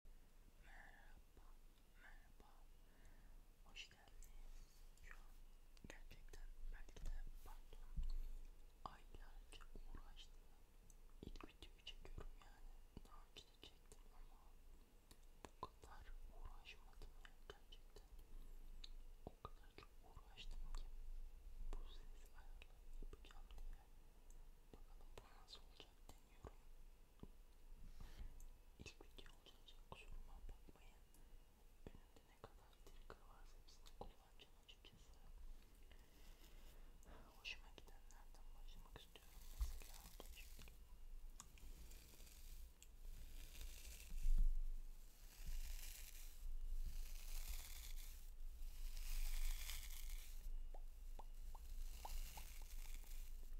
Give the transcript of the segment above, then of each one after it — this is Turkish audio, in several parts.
Merhaba, merhaba. Hoş geldiniz. Şu an gerçekten belki de pardon aylarca uğraştım. İlk videoyu çekiyorum yani. Daha önce de çektim ama bu kadar uğraşmadım ya gerçekten. O kadar çok uğraştım ki bu ses ayarlarını yapacağım diye. Bakalım bu nasıl olacak deniyorum. İlk video olacak kusuruma bakmayın. Önümde ne kadar trigger varsa hepsini kullanacağım açıkçası. Hoşuma gidenlerden başlamak istiyorum mesela.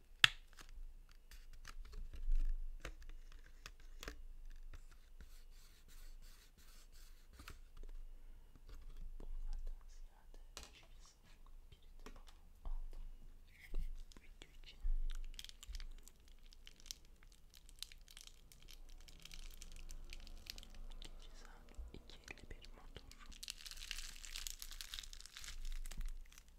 video için. İkinci saat 2.51 motor.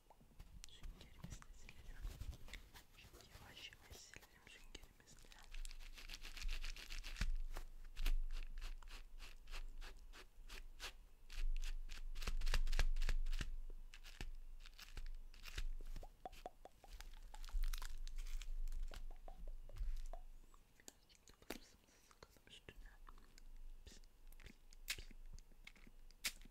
Süngerimizle silelim. Şimdi yavaş yavaş silelim süngerimizle. Şimdi basımızı sıkalım üstüne. Pis, pis, pis.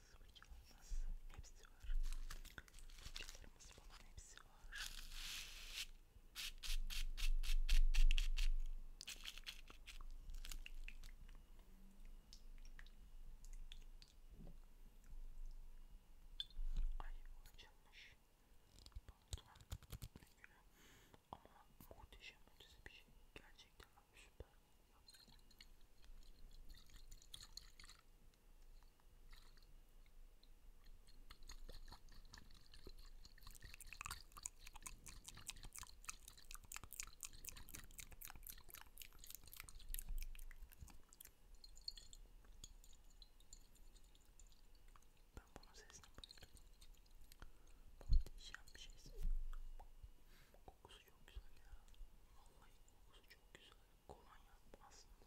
fırçalarımız hepsi var. Fırçalarımız falan hepsi var. Ay bu açılmış. Pantolon ne güle. Ama muhteşem ötesi bir şey. Gerçekten süper. Ben bunun sesini buldum. Muhteşem bir şey. Kokusu çok güzel ya. Vallahi kokusu çok güzel. Kolonya aslında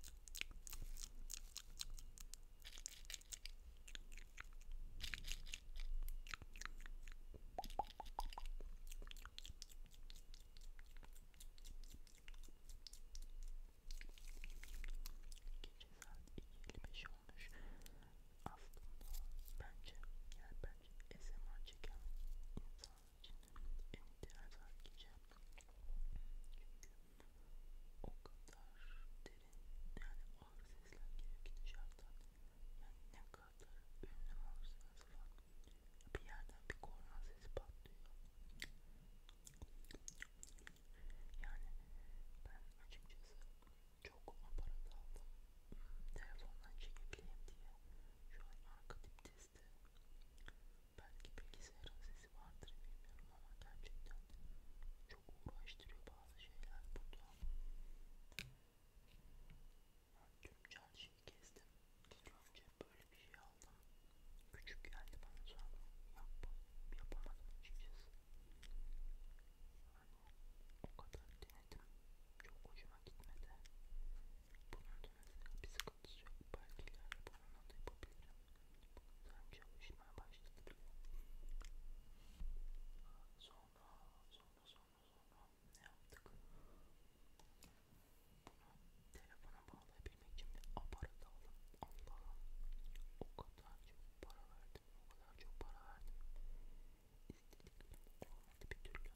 Gece saat 2.55 olmuş. Aslında bence yani bence SMR çeken insan en ideal tarz giyeceğim çünkü o kadar derin yani ağır sesler geliyor ki dışarıdan yani ne kadar ünlü olursanız falan bir yerden bir korna sesi patlıyor yani ben açıkçası çok aparat aldım telefondan çekebileyim diye şu an arka dip testi Belki bilgisayarın sesi vardır bilmiyorum ama gerçekten çok uğraştırıyor bazı şeyler burada. Ben tüm çarşıyı gezdim. İlk önce böyle bir şey aldım. Küçük geldi bana sonra yap, yapamadım açıkçası. Yani o kadar denedim. Çok hoşuma gitmedi. Bunun da mesela bizi sıkıntısı yok. Belki ileride bununla da yapabilirim. Sanki çalışmaya başladı bile. Sonra, sonra, sonra, sonra ne yaptık? Bunu telefona bağlayabilmek için bir aparat aldım. Allah'ım o kadar çok para verdim, o kadar çok para verdim. İstediklerim olmadı bir türlü. Bakın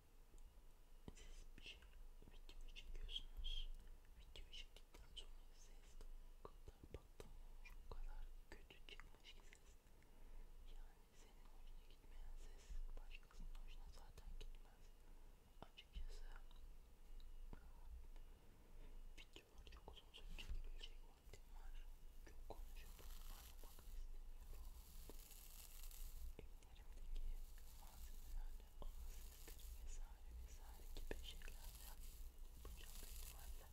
siz bir şey video çekiyorsunuz. Video çektikten sonra ses o kadar battan olur, o kadar kötü çıkmış ki ses. Yani senin hoşuna gitmeyen ses başkasının hoşuna zaten gitmez. Açıkçası videolar çok uzun süre çekilecek vaktim var. Çok konuşup parmak istemiyorum ellerimdeki malzemelerle olasılıktır vesaire vesaire gibi şeylerle yapacağım büyük ihtimalle.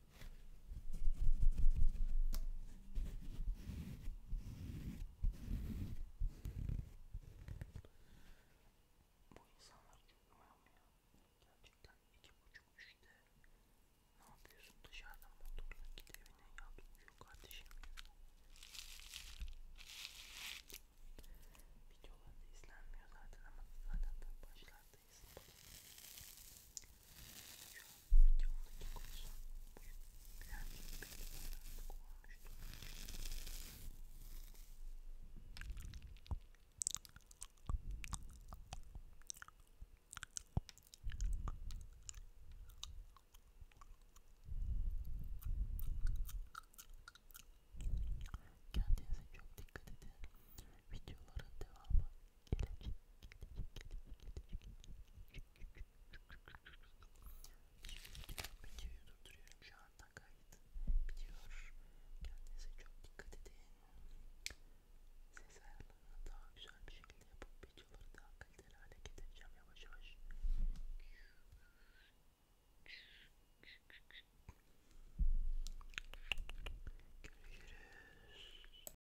Bu insanlar dinliyor mu ya? Gerçekten iki buçuk üçte ne yapıyorsun dışarıdan motorla git evine ya tutmuyor kardeşim Videolar da izlenmiyor zaten ama zaten başlardayız videomdaki konusu birazcık belli olarak olmuştu. Kendinize çok dikkat edin. Videoların devamı gelecek, gelecek, Videoyu durduruyorum şu anda kayıt bitiyor. Kendinize çok dikkat edin. Ses ayarlarını daha güzel bir şekilde yapıp videoları daha kaliteli hale getireceğim yavaş yavaş. Görüşürüz.